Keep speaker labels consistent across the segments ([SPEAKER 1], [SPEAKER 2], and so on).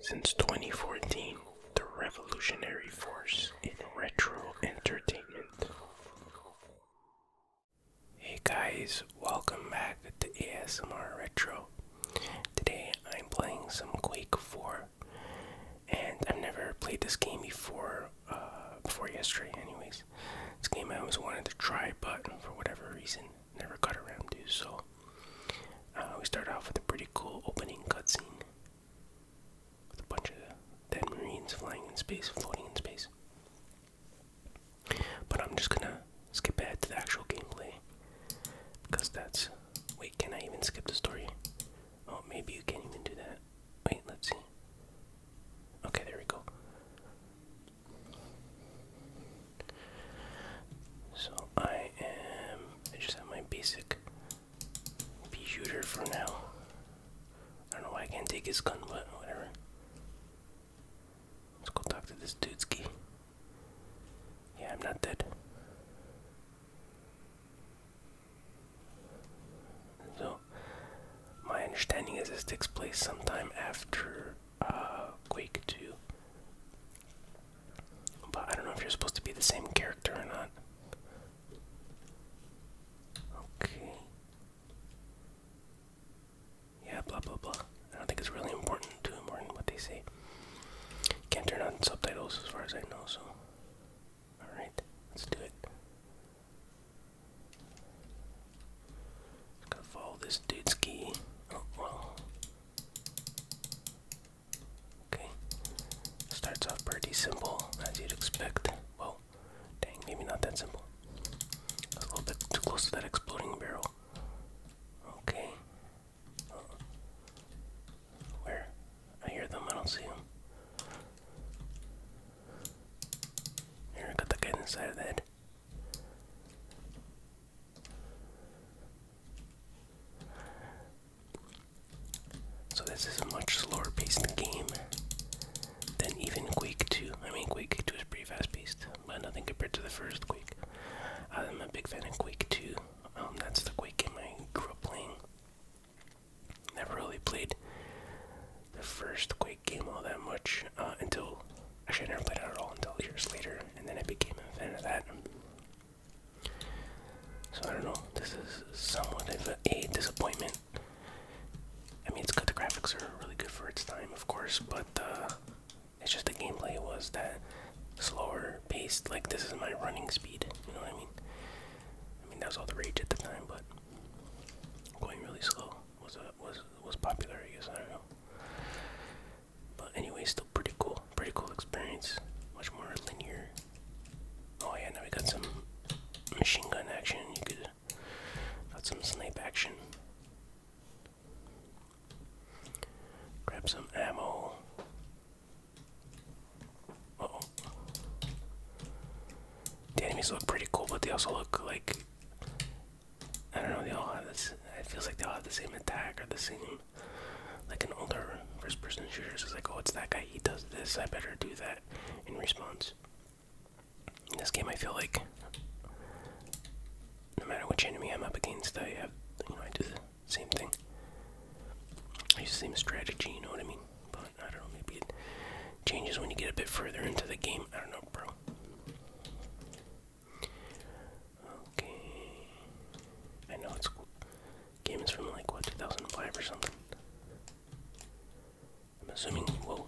[SPEAKER 1] Since 2014, the revolutionary force in retro entertainment. Hey guys, welcome back to ASMR Retro. Today I'm playing some Quake 4, and I've never played this game before, uh, before yesterday anyways. This game I always wanted to try, but for whatever reason, never got around to. So uh, we start off with a pretty cool opening cutscene with a bunch of dead Marines flying in space, floating in space. But I'm just gonna skip ahead to the actual gameplay because that's. Wait, can I even skip the story? Oh, maybe you can't even do that. Wait, let's see. Okay, there we go. So I am. I just have my basic computer for now. I don't know why I can't take his gun, but whatever. Let's go talk to this dude's key. Yeah, I'm not dead. So, my understanding is this takes place sometime after uh, Quake 2. But I don't know if you're supposed to be the same character or not. Okay. Yeah, blah blah blah. I don't think it's really important, too important what they say. Can't turn on subtitles as far as I know, so. Alright, let's do it. gotta follow this dude's key. Oh, Okay. Starts off pretty simple, as you'd expect. Well, dang, maybe not that simple. A little bit too close to that exploding barrel. Okay. Where? I hear them, I don't see them. Here, I got the guy inside of the so this is a much slower paced game than even Quake 2. I mean Quake 2 is pretty fast paced, but nothing compared to the first Quake. I'm a big fan of Quake 2. Um, that's the Quake game I grew up playing. Never really played the first Quake game all that much uh, until Actually, I never played it at all until years later, and then I became a fan of that. So I don't know. This is somewhat of a, disappointment. I mean, it's good. The graphics are really good for its time, of course, but uh, it's just the gameplay was that slower paced. Like this is my running speed. You know what I mean? I mean that was all the rage at the time, but going really slow was uh, was was popular. I guess I don't know. But anyway, still pretty cool. Pretty cool experience. Much more linear. Oh yeah, now we got some machine gun action. You could got some snipe action. Grab some ammo. oh. The enemies look pretty cool, but they also look like I don't know. They all have this. It feels like they all have the same attack or the same like an older first person shooter is like, oh, it's that guy, he does this, I better do that in response. In this game, I feel like no matter which enemy I'm up against, I have, you know, I do the same thing. I use the same strategy, you know what I mean? But I don't know, maybe it changes when you get a bit further into the game. I don't know, bro. Okay. I know it's game is from like what 2005 or something. I'm assuming. Well,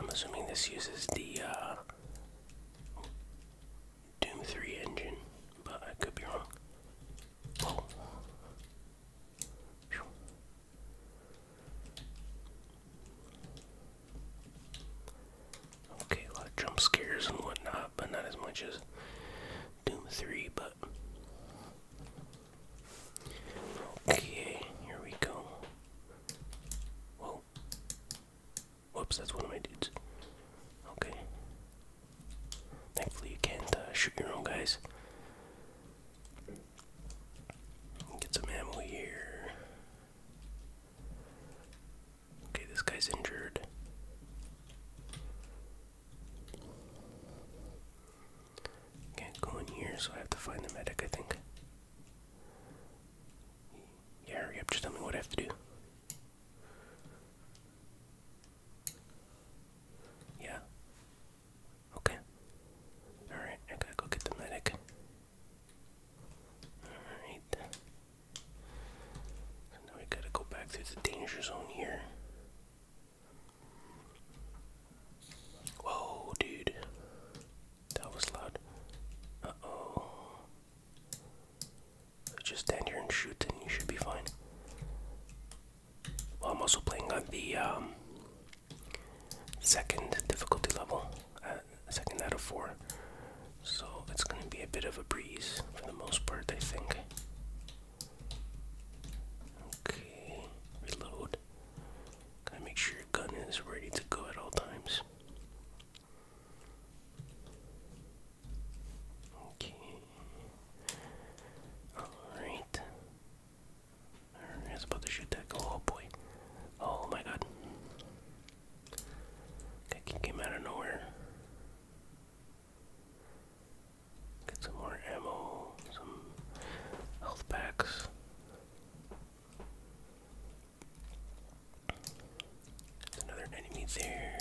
[SPEAKER 1] I'm assuming this uses the uh, Doom 3 engine, but I could be wrong. Oh. Okay, a lot of jump scares and whatnot, but not as much as Doom 3, but. Okay, here we go. Whoops, that's one of my dudes. Okay. Thankfully, you can't uh, shoot your own guys. Get some ammo here. Okay, this guy's injured. Can't go in here, so I have to find the medic, I think. Yeah, hurry just tell me what I have to do. Yeah. Okay. Alright, I gotta go get the medic. Alright now we gotta go back through the danger zone here. Whoa, dude. That was loud. Uh oh. Just stand here and shoot, and you should be fine. Well, I'm also playing on the um, second difficulty level, uh, second out of four. So it's going to be a bit of a breeze for the most part, I think. Okay, reload. Gotta make sure your gun is ready to go at all times. Okay. Alright. I was about to shoot that. Go. Oh, boy. Oh my god. That kid came out of nowhere. Get some more ammo, some health packs. another enemy there.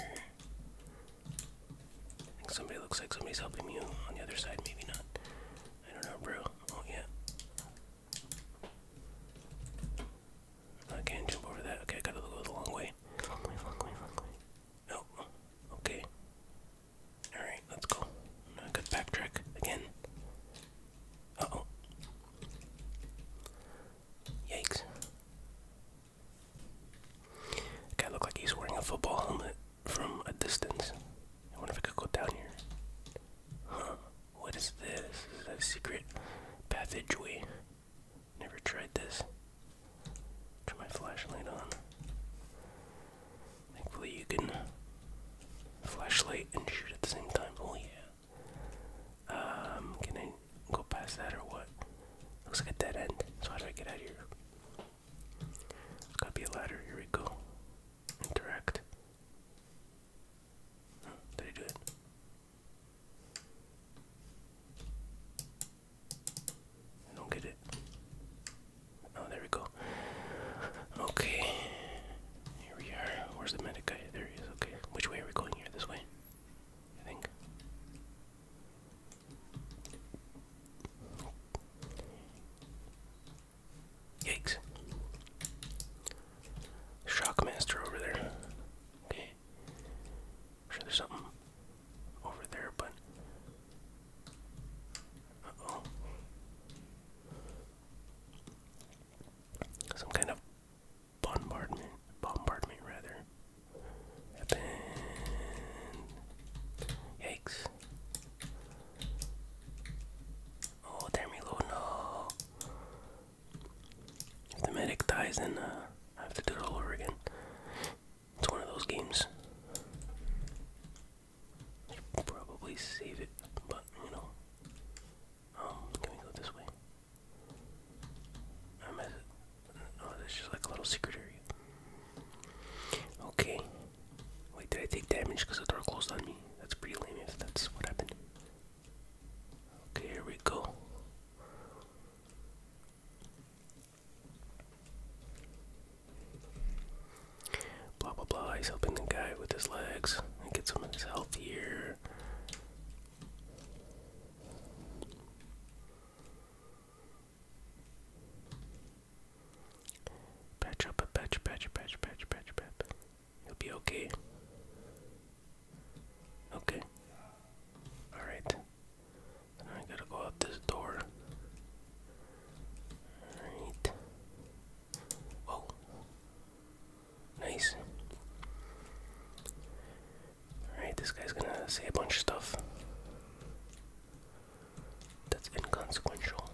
[SPEAKER 1] somebody looks like somebody's helping you on the other side, maybe not. I don't know, bro. Oh, yeah. I can't jump over that. Okay, I gotta go the long way. Long way, long way, long way. No. Okay. Alright, let's go. I could backtrack again. Uh oh. Yikes. Guy look like he's wearing a football helmet from a distance. I wonder if I could go down here. Huh. What is this? Is that a secret passageway? Never tried this. Turn my flashlight on. Thankfully, you can flashlight and shoot at the same time. Oh yeah. Um, can I go past that or what? Looks like a dead end. So how do I get out of here? There's gotta be a ladder. Here we go. Interact. did I do it? I don't get it. Oh, there we go. Okay. Here we are. Where's the medic guy? There he is. Okay. Which way are we going here? This way? I think. Yikes. Shockmaster over there. Okay. I'm sure there's something over there, but. oh. Some kind of bombardment, bombardment rather. Yikes. Oh, damn reload, no. If the medic dies, then uh, I have to do it all over again. It's one of those games. You probably save it, but you know. Um, can we go this way? I mess it. Oh, there's just like a little secret area. Okay. Wait, did I take damage because the door closed on me? That's pretty lame if that's what happened. Okay, here we go. Blah blah blah. He's helping the guy with his legs and get some of his health here. Patch up a patch, patch, patch, patch, patch, patch. He'll be okay. Okay. Alright. I gotta go out this door. Alright. Whoa. Nice. Alright, this guy's gonna say a bunch of stuff. That's inconsequential.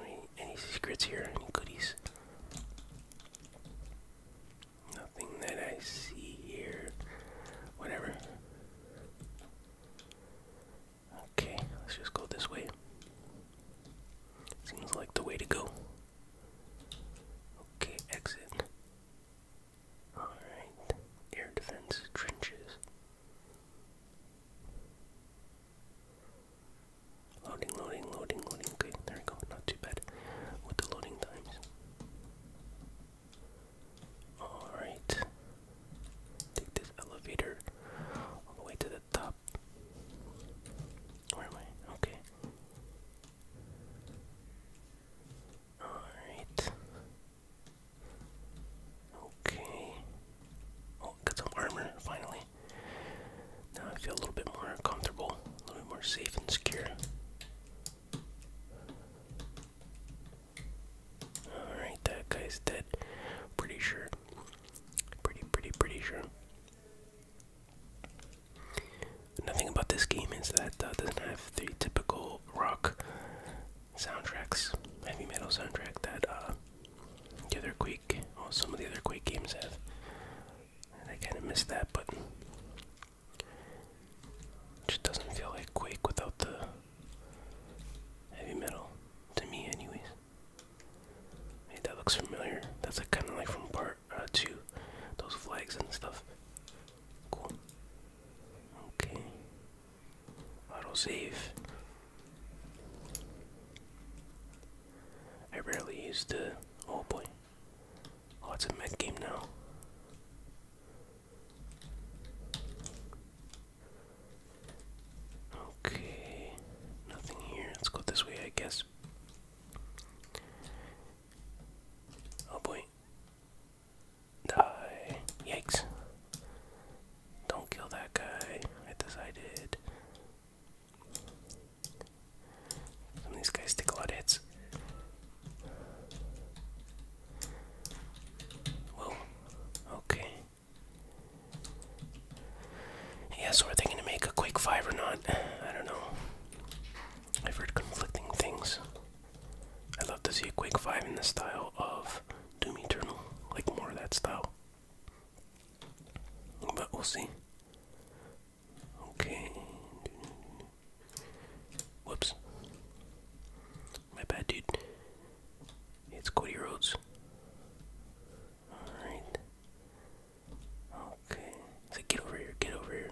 [SPEAKER 1] any, any secrets here? Any goodies? Nothing that I see here. Whatever. Okay, let's just go this way. Seems like the way to go. Okay, exit. Alright, air defense trenches. Loading, loading, loading, loading. Okay, there we go. Not too bad with the loading times. Alright. Take this elevator all the way to the top. Where am I? Okay. Alright. Okay. Oh, got some armor finally. Now I feel a little bit more comfortable, a little bit more safe and secure. Alright, that guy's dead. Pretty sure. Pretty, pretty, pretty sure. Nothing about this game is that uh, doesn't have the typical rock soundtracks, heavy metal soundtrack that uh, other Quake, well, some of the other Quake games have. I kind of missed that, but just doesn't feel like Quake without the heavy metal, to me, anyways. Hey, that looks familiar. That's kind of like from part uh, 2, those flags and stuff. Cool. Okay. Auto save. I rarely use the. Oh boy, Oh, it's a med game now. Okay, nothing here. Let's go this way, I guess. Oh boy. Die. Yikes. Don't kill that guy. I decided these guys take a lot of hits. Whoa. Okay. Yeah, so are they gonna make a quick five or not? I don't know. I've heard conflicting things. I'd love to see a quick five in the style of Doom Eternal. Like more of that style. But we'll see. Okay. Whoops. My bad, dude. It's Cody Rhodes. Alright. Okay. So get over here, get over here.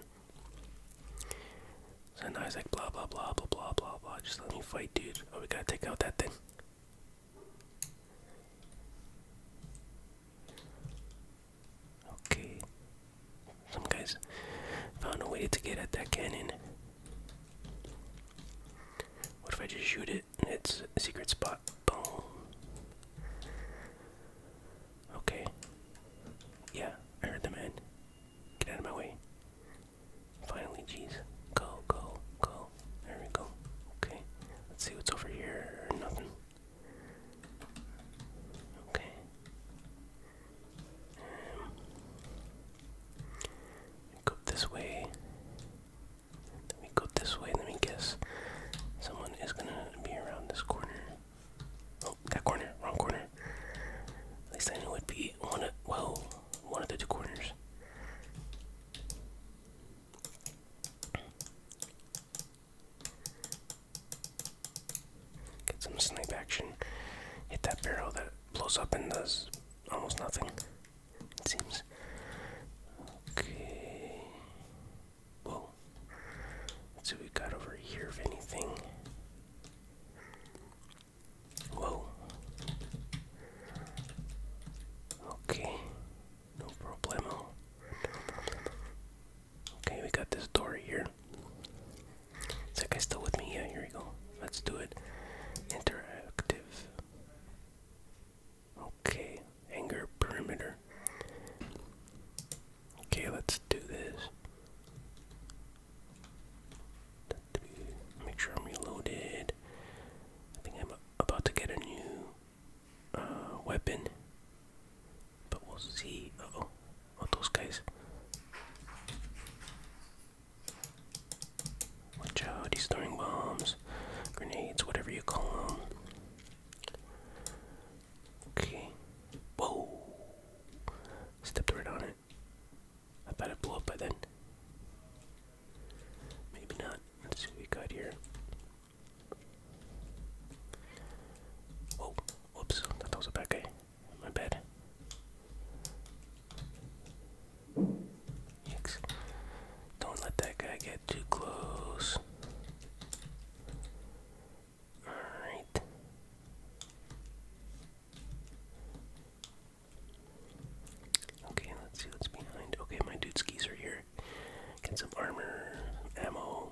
[SPEAKER 1] So now he's like blah blah blah blah blah blah blah. Just let me fight, dude. Oh, we gotta take out that thing. Okay. Some guys found a way to get at that cannon. What if I just shoot it it's a secret spot? Boom. Okay. Yeah, I heard the man. Get out of my way. Finally, jeez. Go, go, go. There we go. Okay. Let's see what's over here. Nothing. Okay. Um, go this way. Let me go this way. Let me guess. Someone is gonna be around this corner. Oh, that corner. Wrong corner. At least I knew it would be one of whoa, one of the two corners. Get some snipe action. Hit that barrel that blows up and does almost nothing. It seems. Okay. Whoa. see what we got over here, if anything. Whoa. Okay. No problemo. Okay, we got this door here. Is that guy still with me? Yeah, here we go. Let's do it. Interactive. Okay, anger perimeter. Okay, let's do this. Make sure I'm reloaded. I think I'm about to get a new uh, weapon, but we'll see. oh, oh, those guys. Watch out, he's throwing bombs, grenades, whatever you call them. Okay. Whoa! Stepped right on it. I thought it blew up by then. Maybe not. Let's see what we got here. Whoa, oh, whoops, that was a bad guy. My bad. Yikes. Don't let that guy get too close. Alright. Okay, let's see what's behind. Okay, my dude skis are here. Get some armor, ammo,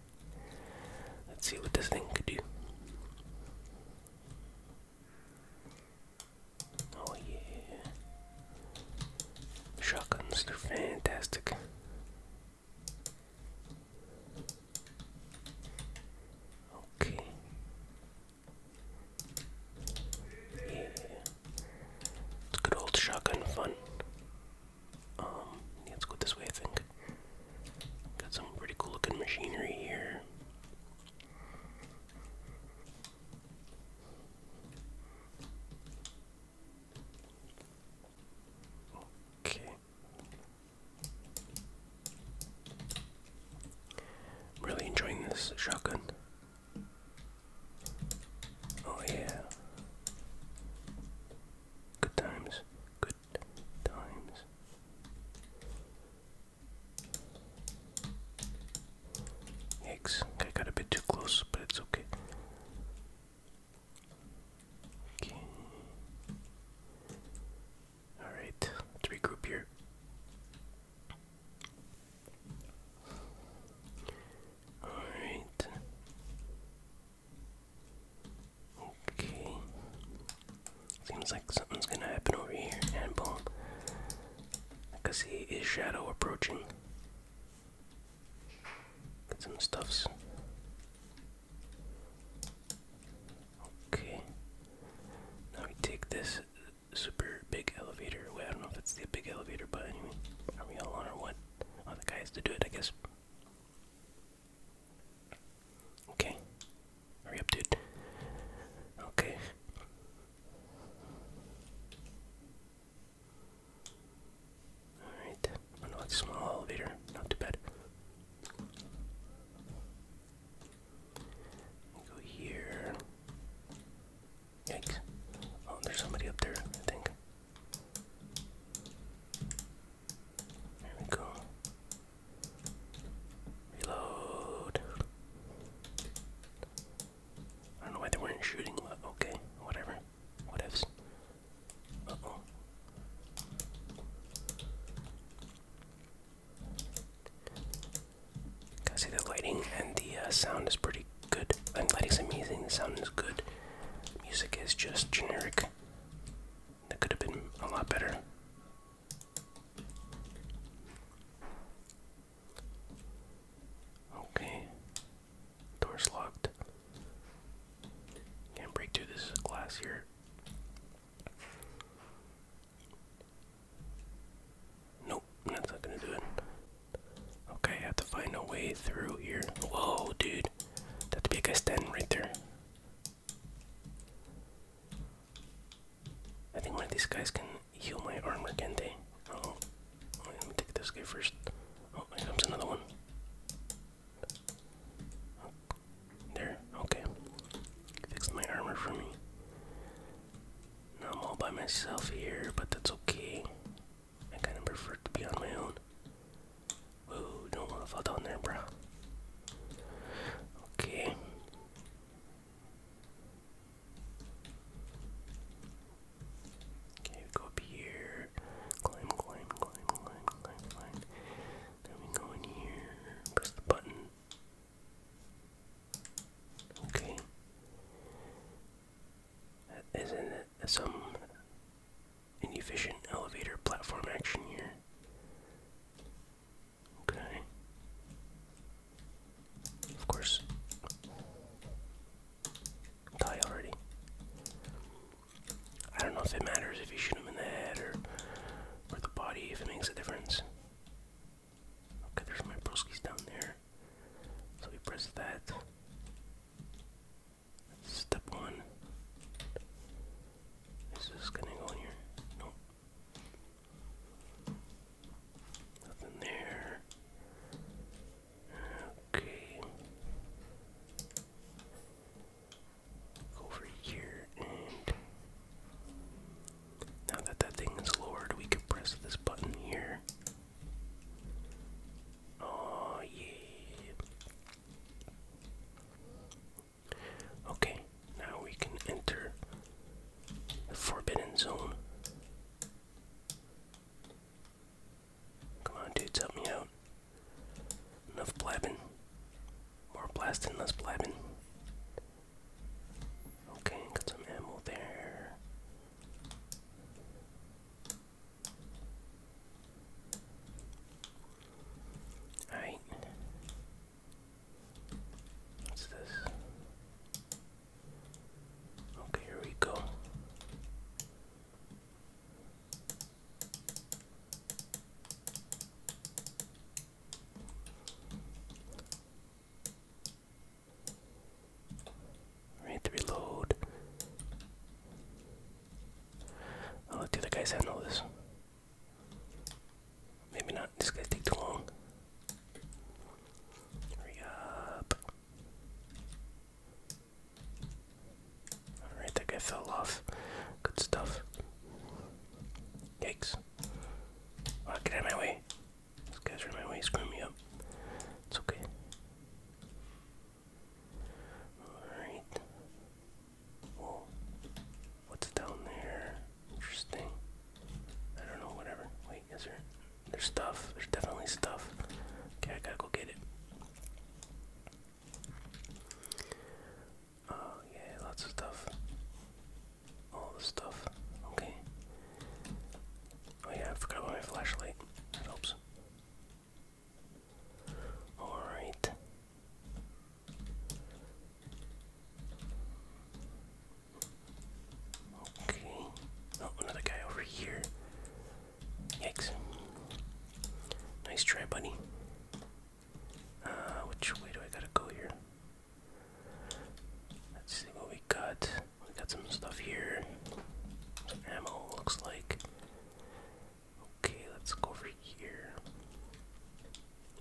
[SPEAKER 1] Let's see what this thing could do. Oh yeah. Shotguns, they're fantastic. Okay. Yeah. good old shotgun fun. Um, let's go this way, I think. Got some pretty cool looking machinery here. Okay. Really enjoying this shotgun. Oh yeah. Good times. Good times. Yikes, I got a bit too close, but it's okay. Okay. Alright, let's regroup here. Alright. Okay. Seems like something's gonna happen over here, and boom. I can see his shadow approaching. Get some stuffs. Okay. Now we take this super big elevator. Wait, I don't know if it's the big elevator, but anyway. Are we all on or what? Other guys to do it, I guess. Okay. Hurry up, dude. Okay. Alright. I small elevator. Not too bad. Go here. Yikes. Oh, there's somebody up there, I think. There we go. Reload. I don't know why they weren't shooting, but okay, whatever. What ifs? Uh oh. I see the lighting and the uh, sound is pretty good. I'm glad he's amazing. The sound is good. Music is just generic. That could have been a lot better. Okay. Door's locked. Can't break through this glass here. Nope, that's not gonna do it. Okay, I have to find a way through here. Whoa, dude. That'd guy standing right there. I think one of these guys can heal my armor, can they? oh. let me take this guy first. Oh, here comes another one. There, okay. Fixed my armor for me. Now I'm all by myself here, but that's okay. I kind of prefer to be on my own. Whoa, don't want to fall down there, bruh. Okay. Okay, go up here. Climb, climb, climb, climb, climb, climb. Then we go in here. Press the button. Okay. Isn't it some efficient elevator platform action here. Okay. Of course. Die already. I don't know if it matters if you shoot him in the head or or the body if it makes a difference. Okay, there's my broskies down there. So we press that. Step one. Is gonna go in here? Nope. Nothing there. Okay. over here and now that that thing is lowered, we could press this button here. Oh yeah. Okay, now we can enter the forbidden zone. Come on dudes, help me out. Enough blabbing. More blasting, less blabbing. Okay, got some ammo there. Alright. What's this? Okay, here we go. We reload. I'll let the other guys handle this. Maybe not. This guy take too long. Hurry up. Alright, that guy fell off. Good stuff. Yikes. Oh, get out my way. This guy's right my way, screwing me up. It's okay. Alright. Whoa. What's down there? Interesting. I don't know, whatever. Wait, is there? There's stuff. There's definitely stuff. Okay, I gotta go get it. Oh, yeah, lots of stuff. All the stuff. Okay. Oh, yeah, I forgot about my flashlight. That helps. All right. Okay. Oh, another guy over here. Yikes. Nice try, buddy. Uh, which way do I gotta go here? Let's see what we got. We got some stuff here. ammo, looks like. Okay, let's go over here.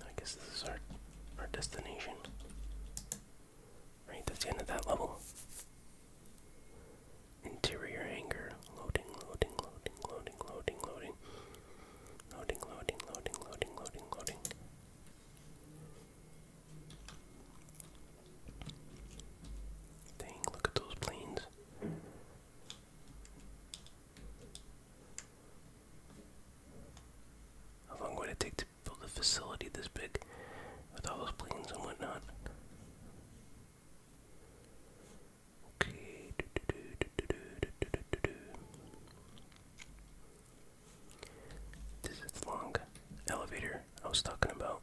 [SPEAKER 1] I guess this is our our destination. Right, that's the end of that level. Interior hangar. Loading, loading, loading, loading, loading, loading. Loading, loading, loading, loading, loading, loading. Dang, look at those planes. How long would it take to build a facility this big with all those planes and whatnot? Okay. This is long elevator I was talking about.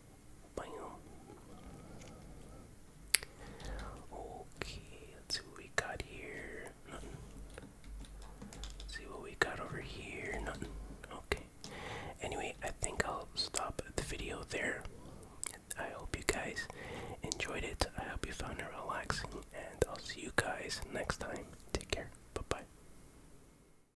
[SPEAKER 1] Okay, see what we got here. see what we got over here. Nothing. Okay. Anyway, I think I'll stop the video there. I hope you guys enjoyed it. I hope you found it relaxing, and I'll see you guys next time. Take care. Bye bye.